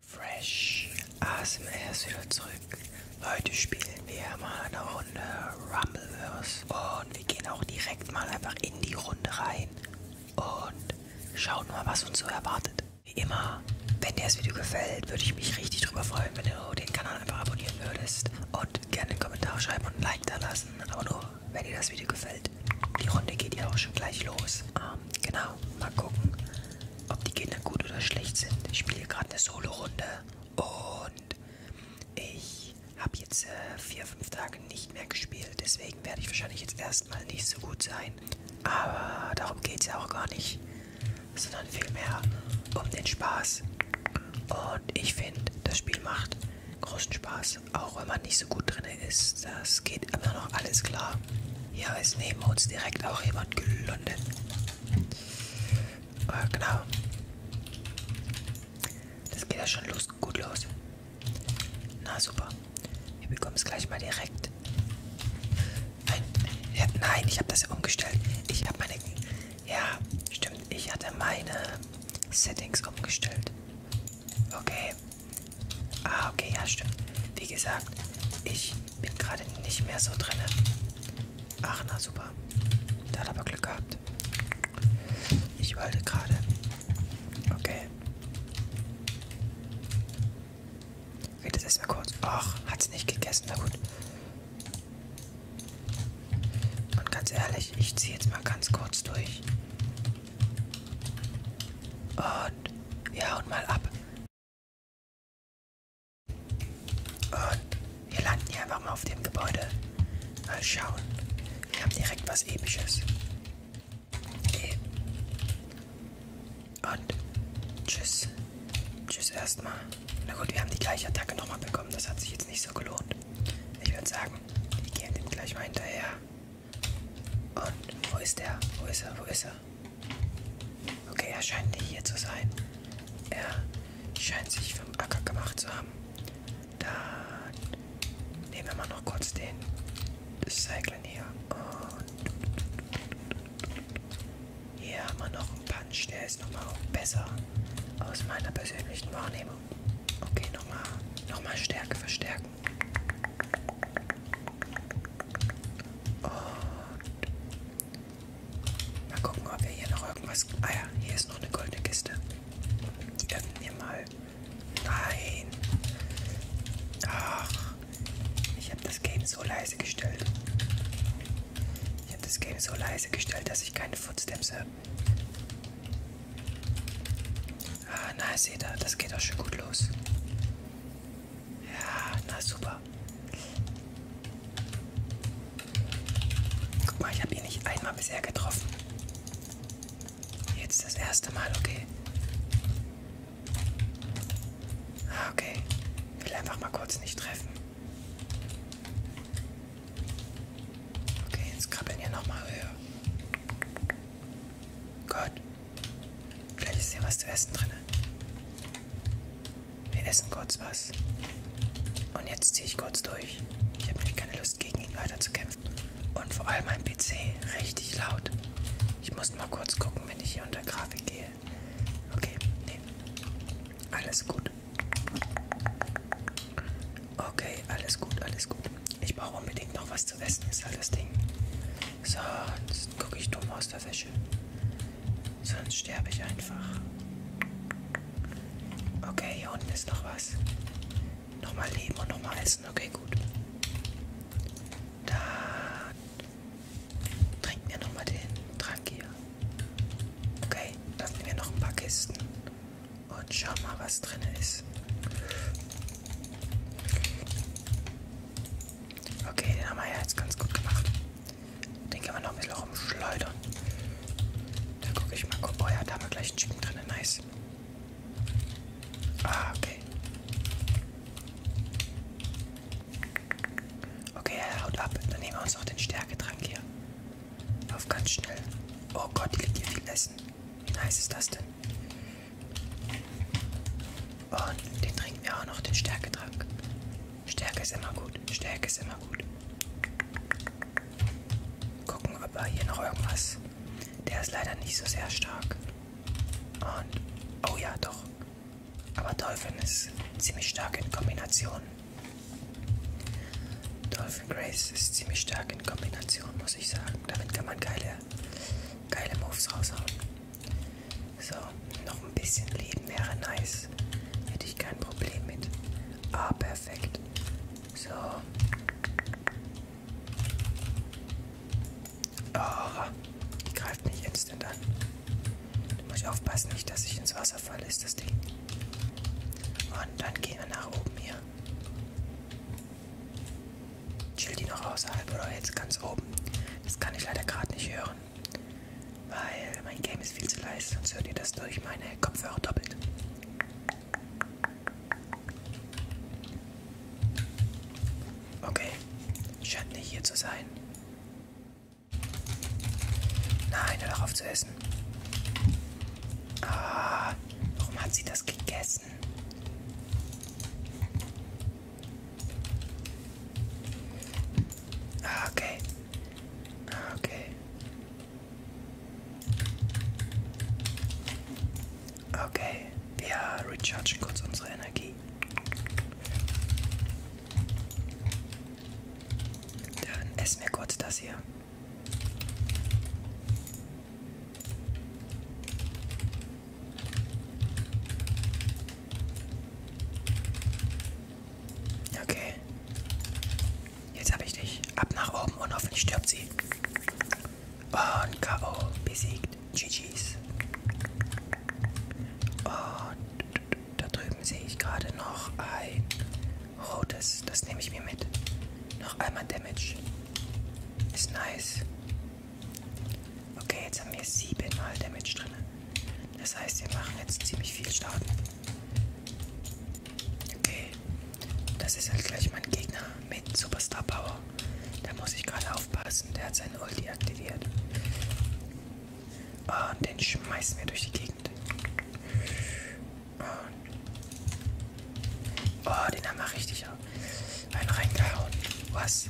Fresh ASMR ist wieder zurück. Heute spielen wir mal eine Runde Rumbleverse. Und wir gehen auch direkt mal einfach in die Runde rein und schauen mal, was uns so erwartet. Wie immer, wenn dir das Video gefällt, würde ich mich richtig drüber freuen, wenn du den Kanal einfach abonnieren würdest. Und gerne einen Kommentar schreiben und ein Like da lassen. Aber nur, wenn dir das Video gefällt. Die Runde geht ja auch schon gleich los. Ähm, genau, mal gucken, ob die Kinder gut oder schlecht sind. Ich spiele gerade eine Solo-Runde und ich habe jetzt äh, vier, fünf Tage nicht mehr gespielt. Deswegen werde ich wahrscheinlich jetzt erstmal nicht so gut sein. Aber darum geht es ja auch gar nicht, sondern vielmehr um den Spaß. Und ich finde, das Spiel macht großen Spaß, auch wenn man nicht so gut drin ist. Das geht immer noch alles klar. Hier ist neben uns direkt auch jemand gelundet. Äh, genau. Das geht ja schon los, gut los. Na super. Wir bekommen es gleich mal direkt. Nein, ja, nein ich habe das ja umgestellt. Ich habe meine... Ja, stimmt. Ich hatte meine Settings umgestellt. Okay. Ah, okay, ja, stimmt. Wie gesagt, ich bin gerade nicht mehr so drin. Ach, na super. Da hat aber Glück gehabt. Ich wollte gerade. Okay. Geht das erstmal kurz. Ach, hat's nicht gegessen. Na gut. Und ganz ehrlich, ich ziehe jetzt mal ganz kurz durch. Und ja, und mal ab. Und wir landen hier einfach mal auf dem Gebäude. Mal schauen. Wir haben direkt was Episches. Okay. Und tschüss. Tschüss erstmal. Na gut, wir haben die gleiche Attacke nochmal bekommen. Das hat sich jetzt nicht so gelohnt. Ich würde sagen, wir gehen dem gleich mal hinterher. Und wo ist der? Wo ist er? Wo ist er? Okay, er scheint nicht hier zu sein. Er scheint sich vom Acker gemacht zu haben. Dann nehmen wir mal noch kurz den Cyclen hier. Und hier haben wir noch einen Punch, der ist nochmal besser aus meiner persönlichen Wahrnehmung. Okay, nochmal noch mal Stärke verstärken. Und mal gucken, ob wir hier noch irgendwas. Ah ja, hier ist noch eine goldene Kiste. Die öffnen wir mal. Nein. Ach, ich habe das Game so leise gestellt. Ich habe das Game so leise gestellt, dass ich keine Footsteps habe. Ah, na, seht ihr, das geht auch schon gut los. Ja, na super. Guck mal, ich habe ihn nicht einmal bisher getroffen. Jetzt das erste Mal, okay. Ah, okay. Ich will einfach mal kurz nicht treffen. Okay, jetzt krabbeln wir nochmal höher. Gut. Vielleicht ist hier was zu essen drin. Wir essen kurz was. Und jetzt ziehe ich kurz durch. Ich habe nämlich keine Lust, gegen ihn weiter zu kämpfen. Und vor allem mein PC richtig laut. Ich muss mal kurz gucken, wenn ich hier unter Grafik gehe. Okay, nee. Alles gut. Okay, alles gut, alles gut. Ich brauche unbedingt noch was zu essen, ist halt das Ding. Sonst gucke ich dumm aus der Wäsche. Sonst sterbe ich einfach. Okay, hier unten ist noch was. Nochmal leben und nochmal essen. Okay, gut. Dann trinken wir nochmal den Trank hier. Okay, dann nehmen wir noch ein paar Kisten. Und schauen mal, was drin ist. Okay, den haben wir ja jetzt ganz gut gemacht. Den können wir noch ein bisschen rumschleudern. Da gucke ich mal. Oh ja, da haben wir gleich einen Chicken drin. Nice. Ah, okay. Okay, er haut ab. Dann nehmen wir uns noch den Stärketrank hier. Auf ganz schnell. Oh Gott, die liegt hier viel Essen. Wie nice ist das denn? Und den trinken wir auch noch, den Stärketrank. Stärke ist immer gut. Stärke ist immer gut. Gucken, ob wir hier noch irgendwas. Der ist leider nicht so sehr stark. Und. Oh ja, doch. Aber Dolphin ist ziemlich stark in Kombination. Dolphin Grace ist ziemlich stark in Kombination, muss ich sagen. Damit kann man geile, geile Moves raushauen. So, noch ein bisschen Leben wäre nice. Hätte ich kein Problem mit. Ah, perfekt. So. Oh, die greift mich instant an. Da muss ich aufpassen, nicht, dass ich ins Wasser falle, ist das Ding. Und dann gehen wir nach oben hier. Chillt die noch außerhalb oder jetzt ganz oben? Das kann ich leider gerade nicht hören, weil mein Game ist viel zu leise, sonst hört ihr das durch meine Kopfhörer doppelt. Okay, scheint nicht hier zu sein. Nein, hör doch auf zu essen. Ah, warum hat sie das gegessen? Ah, okay. Ah, okay. Okay, wir rechargen kurz unsere Energie. Dann essen wir kurz das hier. Okay. Jetzt habe ich dich. Ab nach oben und hoffentlich stirbt sie. Und K.O. besiegt. GG's. Und da drüben sehe ich gerade noch ein rotes. Das nehme ich mir mit. Noch einmal Damage. Ist nice. Okay, jetzt haben wir 7 mal Damage drin. Das heißt, wir machen jetzt ziemlich viel Schaden. Okay, das ist halt gleich mein Gegner mit Superstar Power. Da muss ich gerade aufpassen, der hat seinen Ulti aktiviert. Und den schmeißen wir durch die Gegend. Und oh, den haben wir richtig rein äh, reingehauen. Was?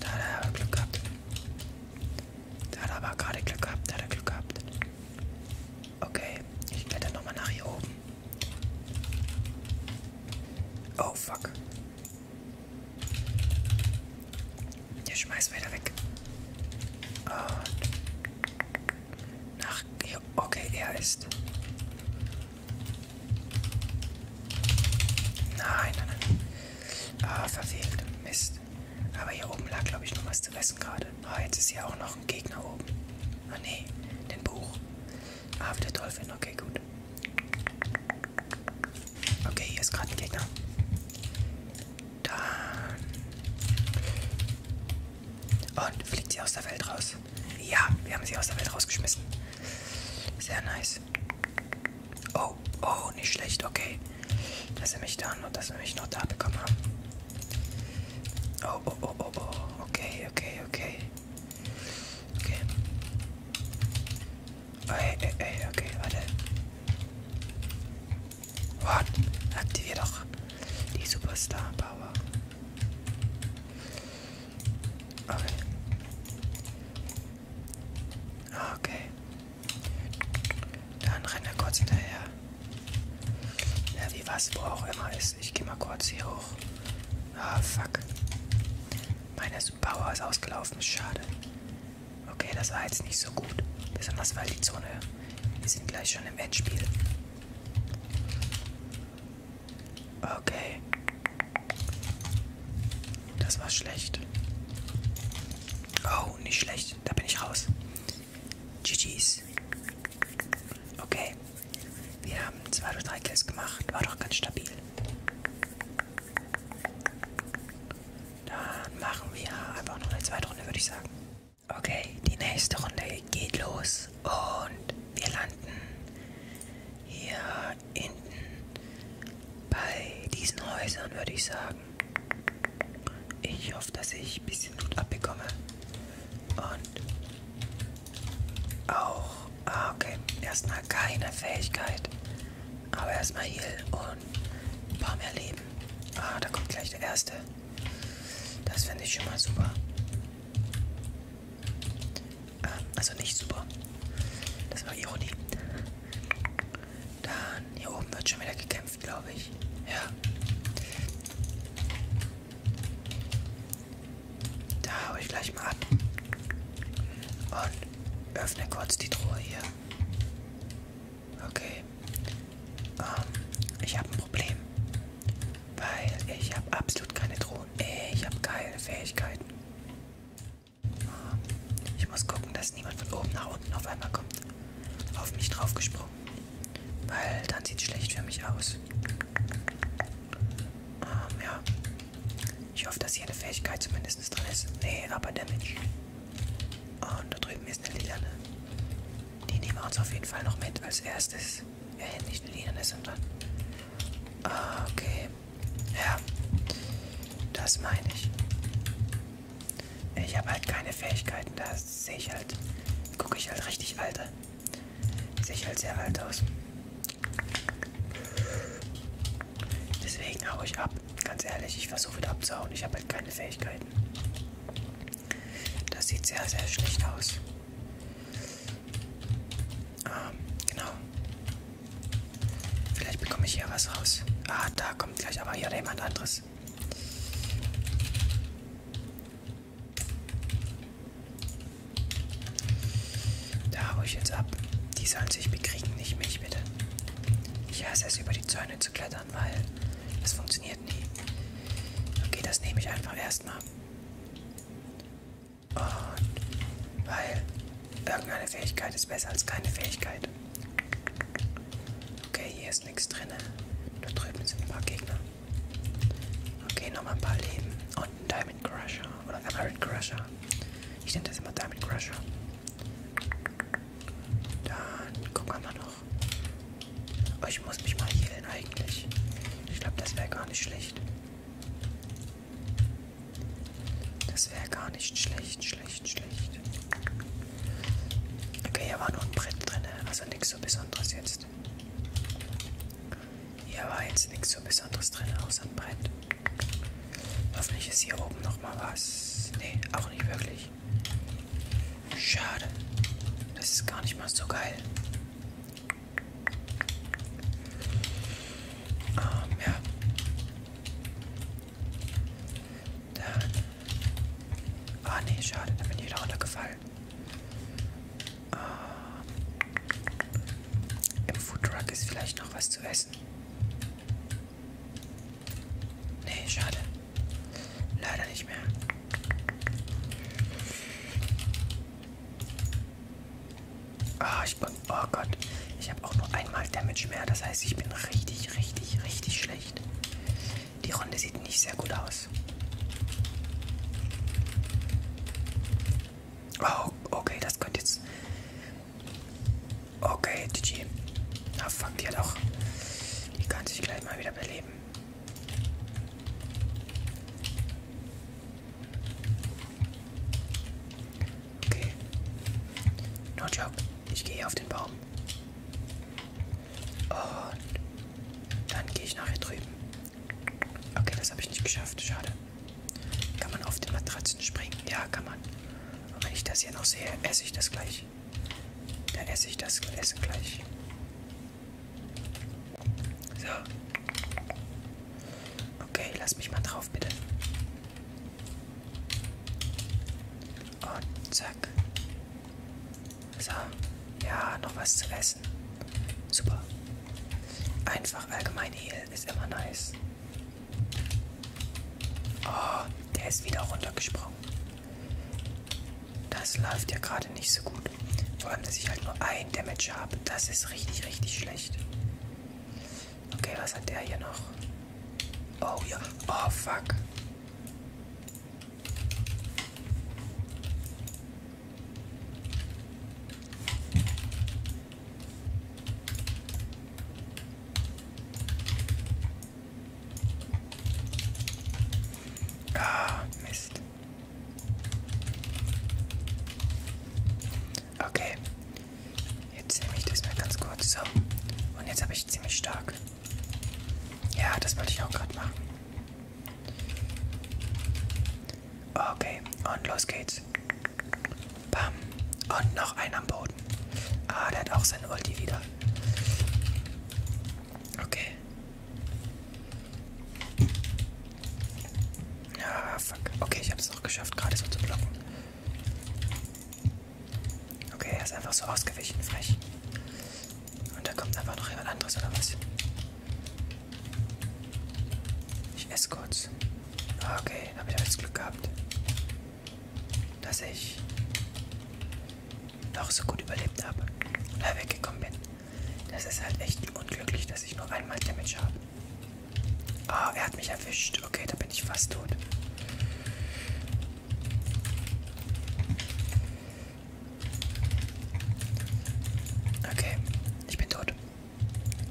Da hat er aber Glück gehabt. Da hat er aber gerade Glück gehabt. Da hat er Glück gehabt. Okay, ich kletter nochmal nach hier oben. Oh fuck. Der schmeißt weiter weg. Und nach. Okay, er ist. Nein, nein, nein. Ah, verfehlt. Mist. Aber hier oben lag, glaube ich, noch was zu essen gerade. Ah, jetzt ist hier auch noch ein Gegner oben. Ah, nee. Den Buch. Ah, wieder Teufel. Okay, gut. Okay, hier ist gerade ein Gegner. Dann. Und fliegt sie aus der Welt raus. Ja, wir haben sie aus der Welt rausgeschmissen. Sehr nice. Oh, oh, nicht schlecht, okay. Dass sie mich da noch, dass wir mich noch da bekommen haben. Oh, oh, oh, oh, oh. Okay, okay, okay. Okay. Oh, ey, ey, ey, okay, warte. What? Aktivier doch die Superstar Power. Okay. Okay. Dann rennt er kurz hinterher. Ja, wie was, wo auch immer ist. Ich gehe mal kurz hier hoch. Ah, fuck. Meine Power ist ausgelaufen. Schade. Okay, das war jetzt nicht so gut. Besonders weil die Zone. Wir sind gleich schon im Endspiel. Okay. Das war schlecht. Oh, nicht schlecht. Da bin ich raus. GG's. Okay. Wir haben zwei oder drei Kills gemacht. War doch ganz stabil. Dann machen wir einfach noch eine zweite Runde, würde ich sagen. Okay, die nächste Runde geht los. Und wir landen hier hinten bei diesen Häusern, würde ich sagen. Ich hoffe, dass ich ein bisschen Blut abbekomme. Und auch, ah, okay, erstmal keine Fähigkeit. Aber erstmal Heal und ein paar mehr Leben. Ah, da kommt gleich der erste. Das finde ich schon mal super also nicht super. Das war Ironie. Dann hier oben wird schon wieder gekämpft, glaube ich. Ja. Da habe ich gleich mal an. Und öffne kurz die Truhe hier. Okay. Um, ähm, ich habe ein Problem. Weil ich habe absolut keine Drohnen. Ich habe keine Fähigkeiten. Ich muss gucken, dass niemand von oben nach unten auf einmal kommt. Auf mich draufgesprungen. Weil dann sieht es schlecht für mich aus. Ähm, ja. Ich hoffe, dass hier eine Fähigkeit zumindest drin ist. Nee, aber Damage. Und da drüben ist eine Lilane. Die nehmen wir uns auf jeden Fall noch mit als erstes. Ja, nicht eine Lilane, sondern. Ah, okay. Ja, das meine ich. Ich habe halt keine Fähigkeiten, da sehe ich halt, gucke ich halt richtig alt. Äh, sehe ich halt sehr alt aus. Deswegen hau ich ab. Ganz ehrlich, ich versuche wieder abzuhauen. Ich habe halt keine Fähigkeiten. Das sieht sehr, sehr schlecht aus. Ähm, genau. Vielleicht bekomme ich hier was raus. Ah, da kommt gleich aber hier jemand anderes. Da hau ich jetzt ab. Die sollen sich bekriegen, nicht mich, bitte. Ich hasse es, über die Zäune zu klettern, weil das funktioniert nie. Okay, das nehme ich einfach erstmal. Und weil irgendeine Fähigkeit ist besser als keine Fähigkeit. Okay, hier ist nichts drin. Da drüben sind ein paar Gegner. Okay, nochmal ein paar Leben. Und ein Diamond Crusher. Oder Emerald Crusher. Ich nenne das immer Diamond Crusher. Dann gucken wir mal noch. Oh, ich muss mich mal healen eigentlich. Ich glaube, das wäre gar nicht schlecht. Das wäre gar nicht schlecht, schlecht, schlecht. Okay, hier war nur ein Brett drin, also nichts so Besonderes jetzt. Hier war jetzt nichts so Besonderes drin, außer ein Brett. Hoffentlich ist hier oben nochmal was. Ne, auch nicht wirklich. Schade. Das ist gar nicht mal so geil. Ähm, ja. Dann. Ah oh, nee, schade, dann bin ich wieder runtergefallen. Uh, Im Foodtruck ist vielleicht noch was zu essen. Nee, schade. Leider nicht mehr. Ah, ich bin. Oh Gott. Ich habe auch nur einmal Damage mehr. Das heißt, ich bin richtig, richtig, richtig schlecht. Die Runde sieht nicht sehr gut aus. Oh, okay, das könnte jetzt. Okay, GG. Na, fuck, die hat auch. Die kann sich gleich mal wieder beleben. Okay. No joke. Ich gehe auf den Baum. Und dann gehe ich nachher drüben. Okay, das habe ich nicht geschafft. Schade. Kann man auf den Matratzen springen? Ja, kann man. Und wenn ich das hier noch sehe, esse ich das gleich. Da esse ich das Essen gleich. So. Okay, lass mich mal drauf, bitte. Und zack. So. Ja, noch was zu essen. Super. Einfach allgemein Heal ist immer nice. Oh, der ist wieder runtergesprungen. Das läuft ja gerade nicht so gut. Vor allem, dass ich halt nur ein Damage habe. Das ist richtig, richtig schlecht. Okay, was hat der hier noch? Oh ja. Oh fuck. Ah, Mist. Okay, Jetzt nehme ich das mal ganz kurz so. Und jetzt habe ich ziemlich stark. Ja, das wollte ich auch gerade machen. Okay, und los geht's. Bam. Und noch ein am Boden. Ah, der hat auch seine Ulti wieder. Okay. Ah, fuck. Okay, ich habe es noch geschafft, gerade so zu blocken. Okay, er ist einfach so ausgewichen, frech. Und da kommt einfach noch jemand anderes, oder was? Ich esse kurz. Ah, okay, habe ich jetzt Glück gehabt. Dass ich noch so gut überlebt habe und da weggekommen bin. Das ist halt echt unglücklich, dass ich nur einmal Damage habe. Ah, er hat mich erwischt. Okay, da bin ich fast tot. Okay, ich bin tot.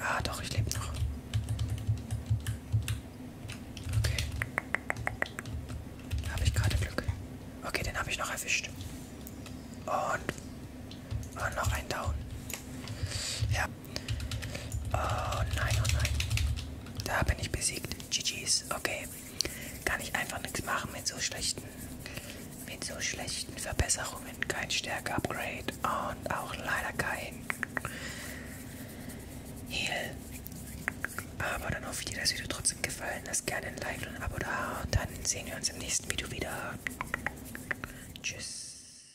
Ah, doch, ich lebe noch. Okay. Habe ich gerade Glück. Okay, den habe ich noch erwischt. Und, und noch ein Down. Ja. Oh nein, oh nein. Da bin ich besiegt. GG's, okay. Kann ich einfach nichts machen mit so schlechten, mit so schlechten Verbesserungen. Kein Stärke-Upgrade und auch leider kein Heal. Aber dann hoffe ich dir das Video trotzdem gefallen. Lasst gerne ein Like und ein Abo da. Und dann sehen wir uns im nächsten Video wieder. Tschüss.